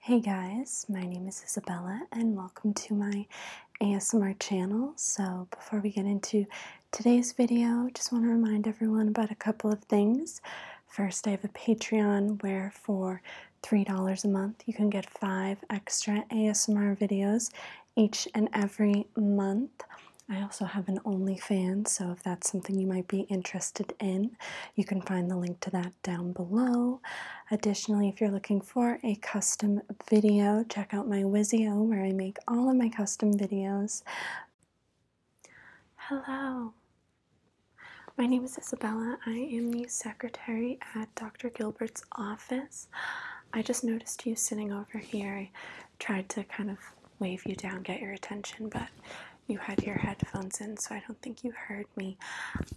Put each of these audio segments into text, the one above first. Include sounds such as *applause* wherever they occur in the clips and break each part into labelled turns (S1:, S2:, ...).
S1: Hey guys, my name is Isabella and welcome to my ASMR channel. So before we get into today's video, just want to remind everyone about a couple of things. First, I have a Patreon where for $3 a month you can get five extra ASMR videos each and every month. I also have an OnlyFans, so if that's something you might be interested in, you can find the link to that down below. Additionally, if you're looking for a custom video, check out my Wizio where I make all of my custom videos. Hello, my name is Isabella. I am the secretary at Dr. Gilbert's office. I just noticed you sitting over here. I tried to kind of wave you down, get your attention, but you had your headphones in, so I don't think you heard me.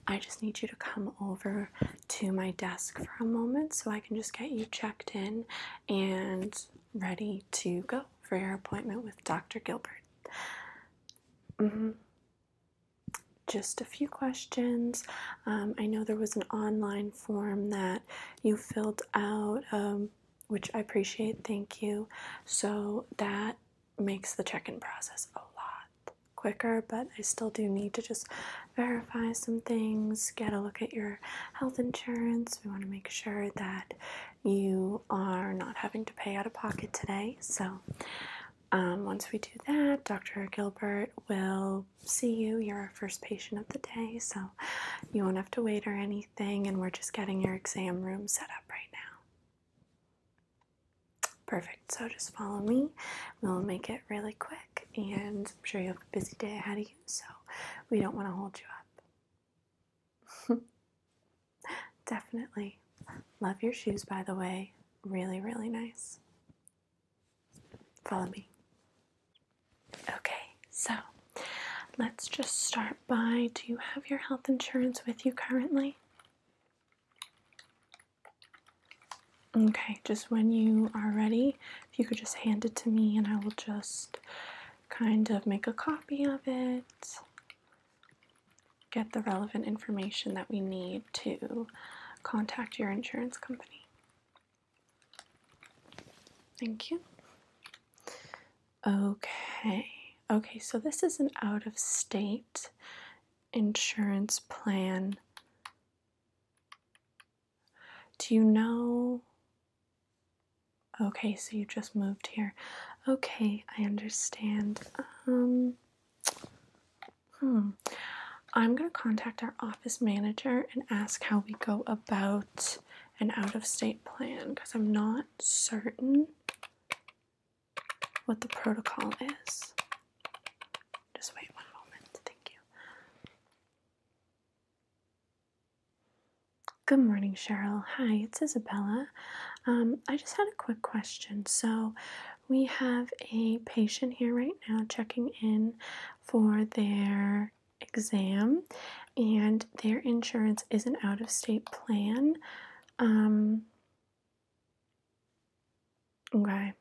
S1: I just need you to come over to my desk for a moment so I can just get you checked in and ready to go for your appointment with Dr. Gilbert. Mm -hmm. Just a few questions. Um, I know there was an online form that you filled out, um, which I appreciate. Thank you. So that makes the check-in process a lot quicker, but I still do need to just verify some things, get a look at your health insurance. We want to make sure that you are not having to pay out of pocket today. So um, once we do that, Dr. Gilbert will see you. You're our first patient of the day, so you won't have to wait or anything, and we're just getting your exam room set up right now. Perfect. So just follow me. We'll make it really quick, and I'm sure you have a busy day ahead of you, so we don't want to hold you up. *laughs* Definitely. Love your shoes, by the way. Really, really nice. Follow me. Okay, so let's just start by do you have your health insurance with you currently? Okay, just when you are ready, if you could just hand it to me and I will just kind of make a copy of it, get the relevant information that we need to contact your insurance company. Thank you. Okay, okay, so this is an out of state insurance plan. Do you know? Okay, so you just moved here. Okay, I understand. Um, hmm. I'm going to contact our office manager and ask how we go about an out of state plan because I'm not certain what the protocol is. Just wait one moment, thank you. Good morning, Cheryl. Hi, it's Isabella. Um, I just had a quick question. So, we have a patient here right now checking in for their exam, and their insurance is an out of state plan. Um, Okay.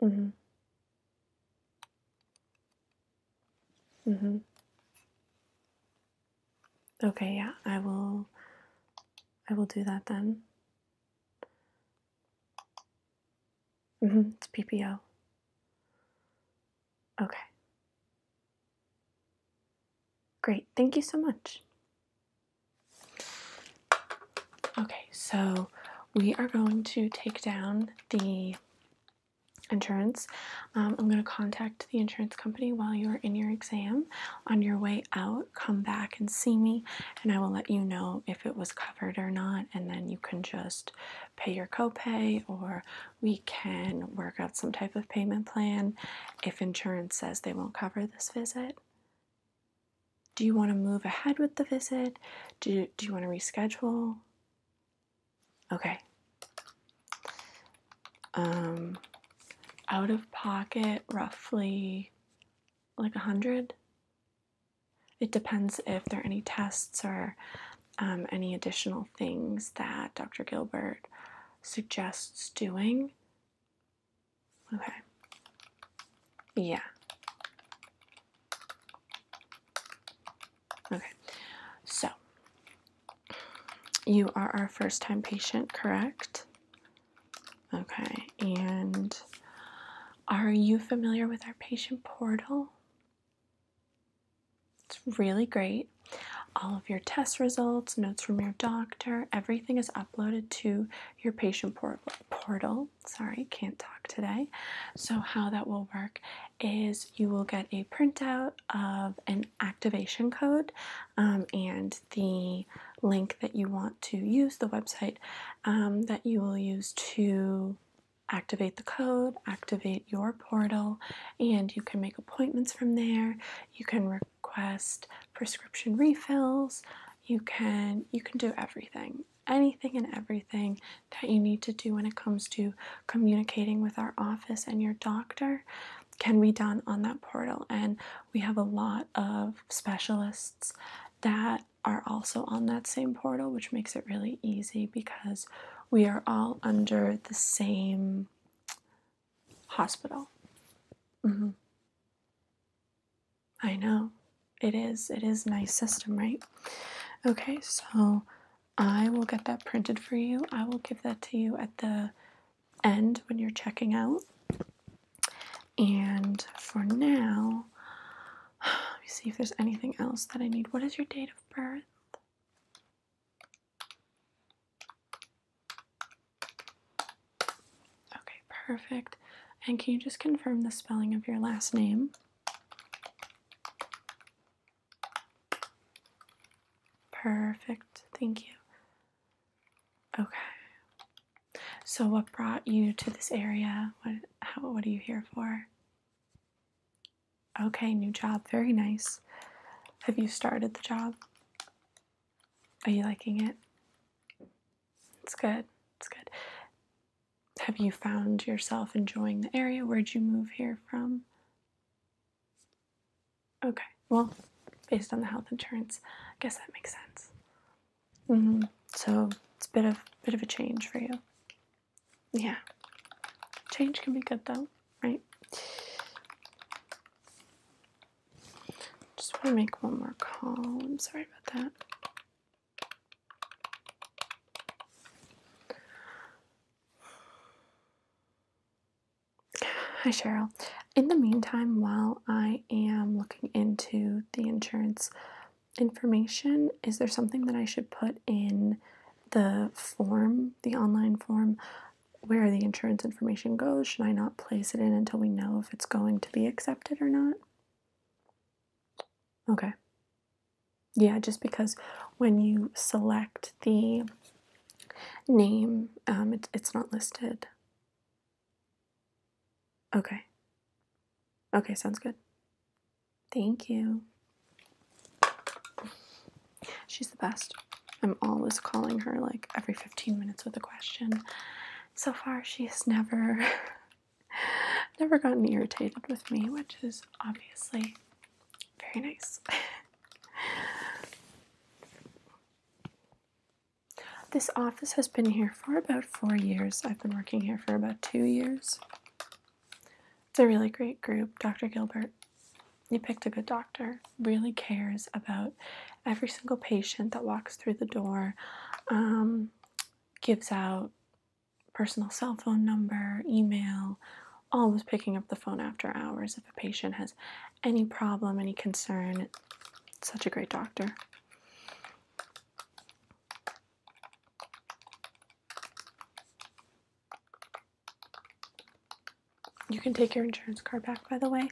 S1: Mhm. Mhm. Okay, yeah. I will I will do that then. Mhm. It's PPO. Okay. Great, thank you so much. Okay, so we are going to take down the insurance. Um, I'm going to contact the insurance company while you're in your exam. On your way out, come back and see me, and I will let you know if it was covered or not. And then you can just pay your copay or we can work out some type of payment plan if insurance says they won't cover this visit. Do you want to move ahead with the visit? Do you, do you want to reschedule? Okay. Um, out of pocket, roughly like a hundred. It depends if there are any tests or um, any additional things that Dr. Gilbert suggests doing. Okay. Yeah. Okay. So, you are our first time patient, correct? Okay. And are you familiar with our patient portal? It's really great. All of your test results, notes from your doctor, everything is uploaded to your patient port portal. Sorry, can't talk today. So, how that will work is you will get a printout of an activation code um, and the link that you want to use, the website um, that you will use to activate the code, activate your portal, and you can make appointments from there. You can request prescription refills. You can you can do everything, anything and everything that you need to do when it comes to communicating with our office and your doctor can be done on that portal and we have a lot of specialists that are also on that same portal which makes it really easy because we are all under the same hospital. Mm-hmm. I know. It is. It is a nice system, right? Okay, so I will get that printed for you. I will give that to you at the end when you're checking out. And for now, *sighs* let me see if there's anything else that I need. What is your date of birth? Okay, perfect. And can you just confirm the spelling of your last name? Perfect, thank you. Okay. So, what brought you to this area? What, how, what are you here for? Okay, new job. Very nice. Have you started the job? Are you liking it? It's good. It's good. Have you found yourself enjoying the area? Where'd you move here from? Okay, well, based on the health insurance, I guess that makes sense. Mm -hmm. So it's a bit of bit of a change for you. Yeah, change can be good though right? Just want to make one more call. I'm sorry about that. Hi, Cheryl. In the meantime, while I am looking into the insurance information, is there something that I should put in the form, the online form where the insurance information goes. Should I not place it in until we know if it's going to be accepted or not? Okay. Yeah, just because when you select the name, um, it, it's not listed. Okay. Okay, sounds good. Thank you. She's the best. I'm always calling her like every 15 minutes with a question. So far, she's never, *laughs* never gotten irritated with me, which is obviously very nice. *laughs* this office has been here for about four years. I've been working here for about two years. It's a really great group. Dr. Gilbert you picked a good doctor, really cares about every single patient that walks through the door, um, gives out personal cell phone number, email, always picking up the phone after hours if a patient has any problem, any concern. Such a great doctor. You can take your insurance card back, by the way.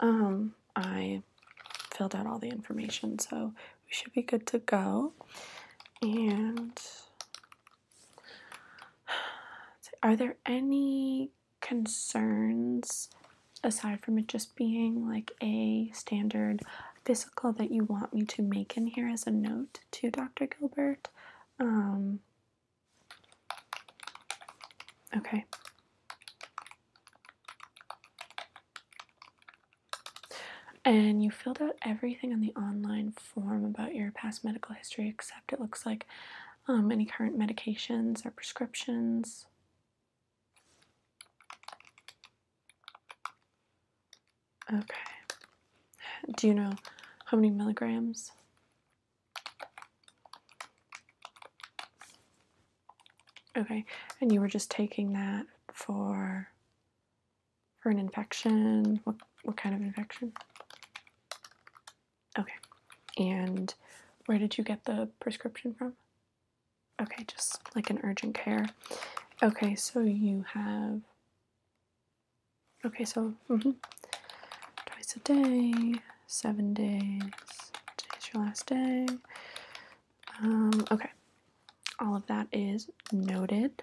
S1: Um, I filled out all the information, so we should be good to go. And *sighs* are there any concerns aside from it just being like a standard physical that you want me to make in here as a note to Dr. Gilbert? Um, Okay. And you filled out everything on the online form about your past medical history, except it looks like um, any current medications or prescriptions. Okay. Do you know how many milligrams Okay, and you were just taking that for for an infection. What what kind of infection? Okay, and where did you get the prescription from? Okay, just like an urgent care. Okay, so you have Okay, so mm-hmm. twice a day, seven days, Today is your last day. Um, okay, all of that is noted.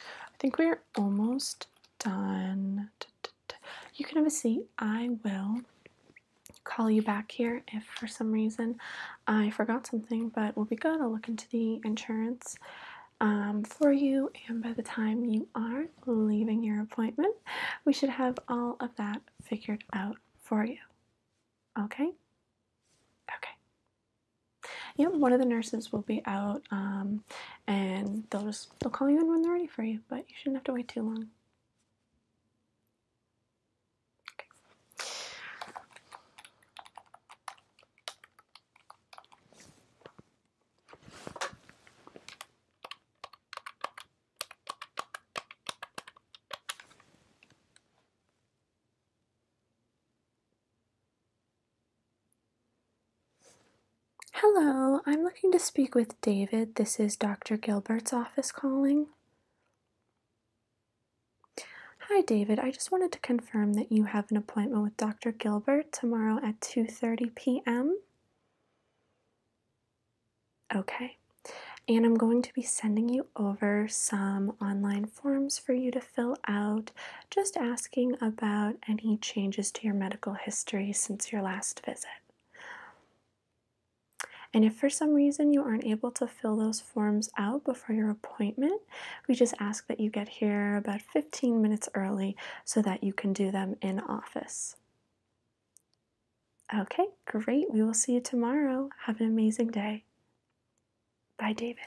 S1: I think we're almost done. You can have a seat. I will call you back here if for some reason I forgot something, but we'll be good. I'll look into the insurance um, for you, and by the time you are leaving your appointment, we should have all of that figured out for you. Okay? Okay. Yep, one of the nurses will be out, um, and they'll just they'll call you in when they're ready for you, but you shouldn't have to wait too long. Hello, I'm looking to speak with David. This is Dr. Gilbert's office calling. Hi David, I just wanted to confirm that you have an appointment with Dr. Gilbert tomorrow at 2:30 p.m. Okay. And I'm going to be sending you over some online forms for you to fill out, just asking about any changes to your medical history since your last visit. And if for some reason you aren't able to fill those forms out before your appointment, we just ask that you get here about 15 minutes early so that you can do them in office. Okay, great. We will see you tomorrow. Have an amazing day. Bye, David.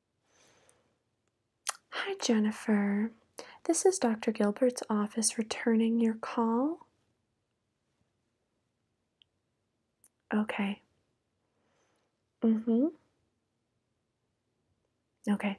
S1: Hi, Jennifer. This is Dr. Gilbert's office returning your call. Okay. Mm hmm. Okay.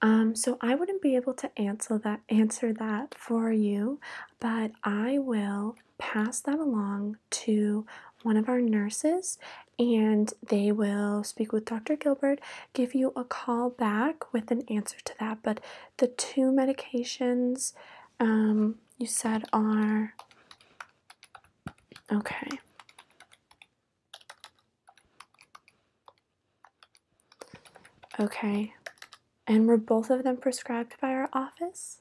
S1: Um, so I wouldn't be able to answer that answer that for you, but I will pass that along to one of our nurses and they will speak with Dr. Gilbert, give you a call back with an answer to that. But the two medications um, you said are okay. Okay. And were both of them prescribed by our office?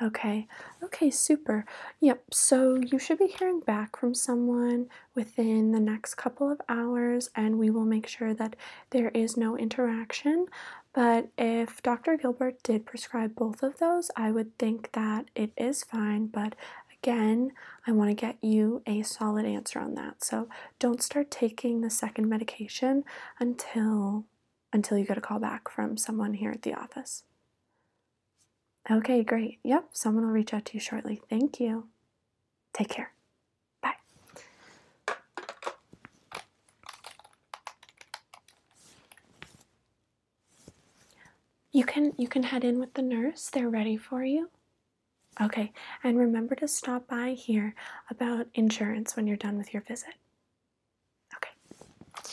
S1: Okay, okay, super. Yep, so you should be hearing back from someone within the next couple of hours and we will make sure that there is no interaction. But if Dr. Gilbert did prescribe both of those, I would think that it is fine. But again, I want to get you a solid answer on that. So don't start taking the second medication until until you get a call back from someone here at the office. Okay, great. Yep, someone will reach out to you shortly. Thank you. Take care. Bye. You can you can head in with the nurse. They're ready for you. Okay, and remember to stop by here about insurance when you're done with your visit. Okay.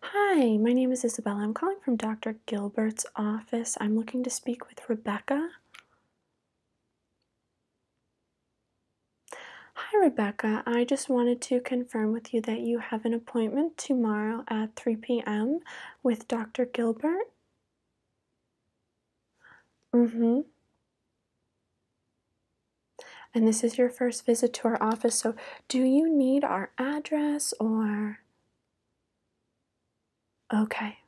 S1: Hi, my name is Isabella. I'm calling from Dr. Gilbert's office. I'm looking to speak with Rebecca. Hi, Rebecca. I just wanted to confirm with you that you have an appointment tomorrow at 3 p.m. with Dr. Gilbert. Mm hmm. And this is your first visit to our office, so do you need our address or. Okay.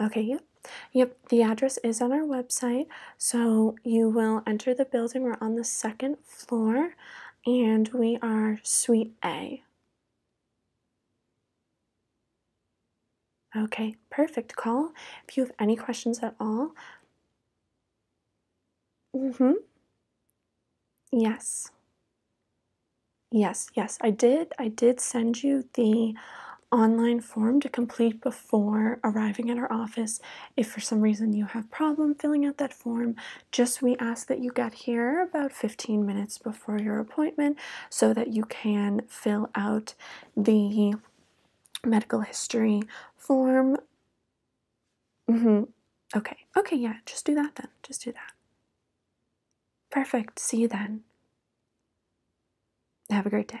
S1: Okay, yep. Yep, the address is on our website. So you will enter the building. We're on the second floor and we are Suite A. Okay, perfect call. If you have any questions at all. Mm-hmm. Yes. Yes, yes. I did I did send you the online form to complete before arriving at our office. If for some reason you have problem filling out that form, just we ask that you get here about 15 minutes before your appointment so that you can fill out the medical history form. Mm-hmm. Okay. Okay, yeah, just do that then. Just do that. Perfect. See you then. Have a great day.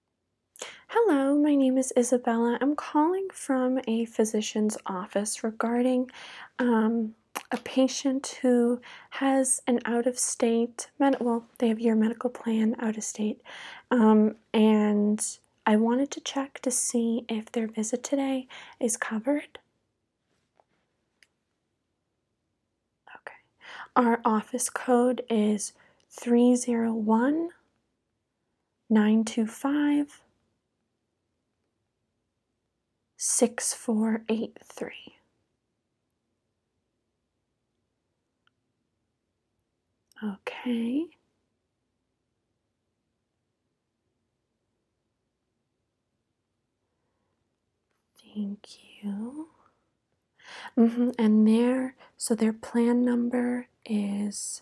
S1: Hello, my name is Isabella. I'm calling from a physician's office regarding um, a patient who has an out of state, med well, they have your medical plan out of state, um, and I wanted to check to see if their visit today is covered. Okay, our office code is 301 925 6483. Okay. Thank you. Mm-hmm, and there, so their plan number is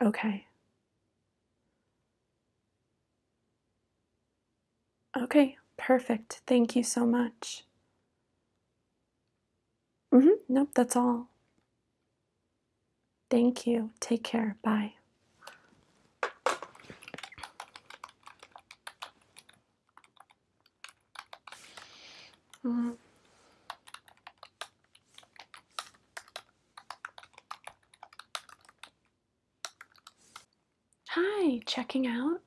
S1: Okay. Okay, perfect. Thank you so much. Mm-hmm. Nope, that's all. Thank you. Take care. Bye. Mm. Hi, checking out.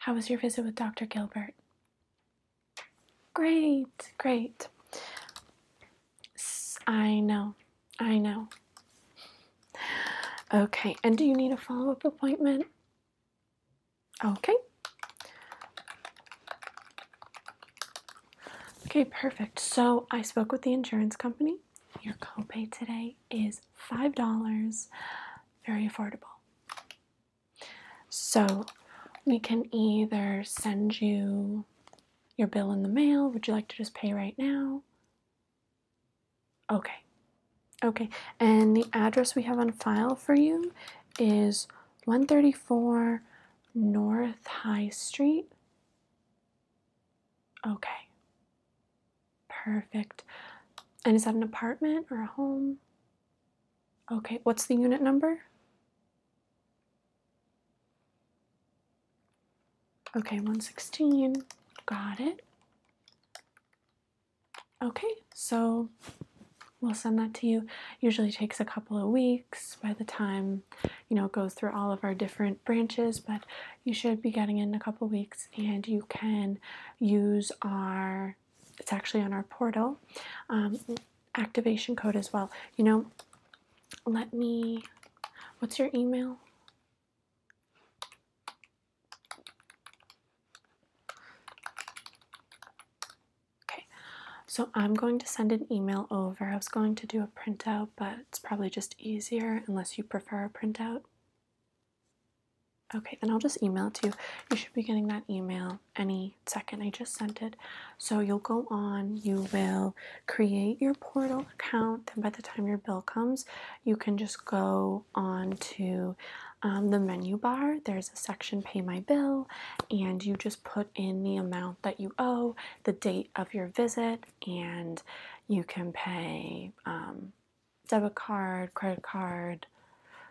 S1: How was your visit with Dr. Gilbert? Great, great. I know, I know. Okay, and do you need a follow up appointment? Okay. Okay, perfect. So I spoke with the insurance company. Your copay today is $5. Very affordable. So we can either send you your bill in the mail. Would you like to just pay right now? Okay. Okay. And the address we have on file for you is 134 North High Street. Okay, perfect. And is that an apartment or a home? Okay, what's the unit number? Okay, 116. Got it. Okay, so we'll send that to you. Usually takes a couple of weeks by the time you know it goes through all of our different branches, but you should be getting in a couple of weeks and you can use our it's actually on our portal um, activation code as well. You know, let me what's your email? Okay, so I'm going to send an email over. I was going to do a printout, but it's probably just easier unless you prefer a printout. Okay, then I'll just email it to you. You should be getting that email any second. I just sent it. So you'll go on, you will create your portal account. Then by the time your bill comes, you can just go on to um, the menu bar, there's a section Pay My Bill, and you just put in the amount that you owe, the date of your visit, and you can pay um, debit card, credit card.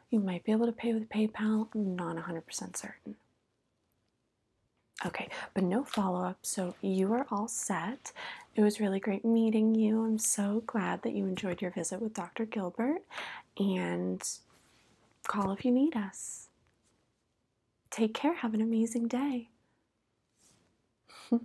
S1: You might be able to pay with PayPal, i not 100% certain. Okay, but no follow up, so you are all set. It was really great meeting you. I'm so glad that you enjoyed your visit with Dr. Gilbert, and Call if you need us. Take care. Have an amazing day. *laughs*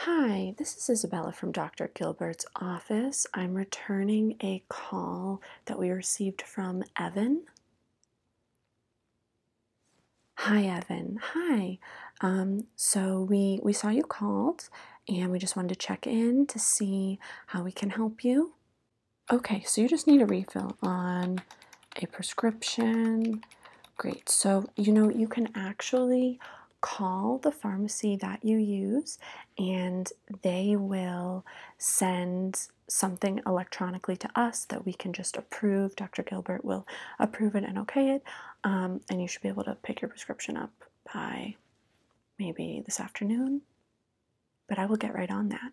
S1: Hi, this is Isabella from Dr. Gilbert's office. I'm returning a call that we received from Evan. Hi, Evan. Hi. Um, so we we saw you called, and we just wanted to check in to see how we can help you. Okay, so you just need a refill on a prescription. Great. So you know you can actually call the pharmacy that you use and they will send something electronically to us that we can just approve. Dr. Gilbert will approve it and okay it, um, and you should be able to pick your prescription up by maybe this afternoon. But I will get right on that.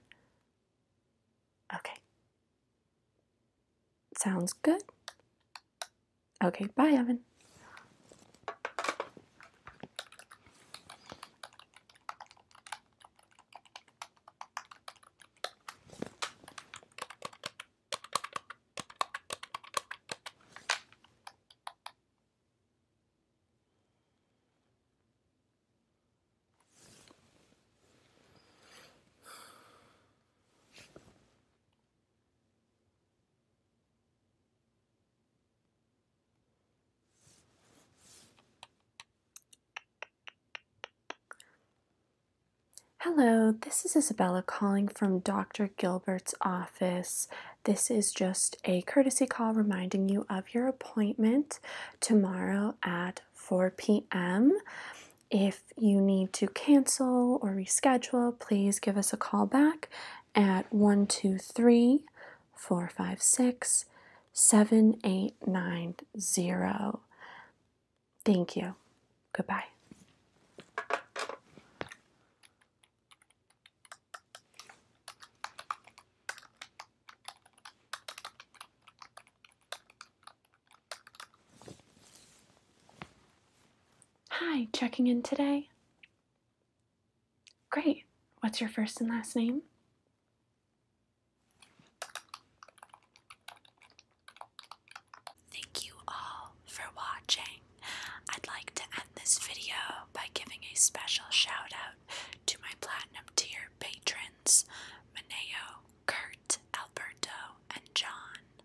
S1: Okay. Sounds good. Okay, bye, Evan. Hello, this is Isabella calling from Dr. Gilbert's office. This is just a courtesy call reminding you of your appointment tomorrow at 4 p.m. If if you need to cancel or reschedule, please give us a call back at 123 456 7890. Thank you. Goodbye. Hi, checking in today. Great. What's your first and last name? Thank you all for watching. I'd like to end this video by giving a special shout out to my platinum tier patrons Maneo, Kurt, Alberto, and John.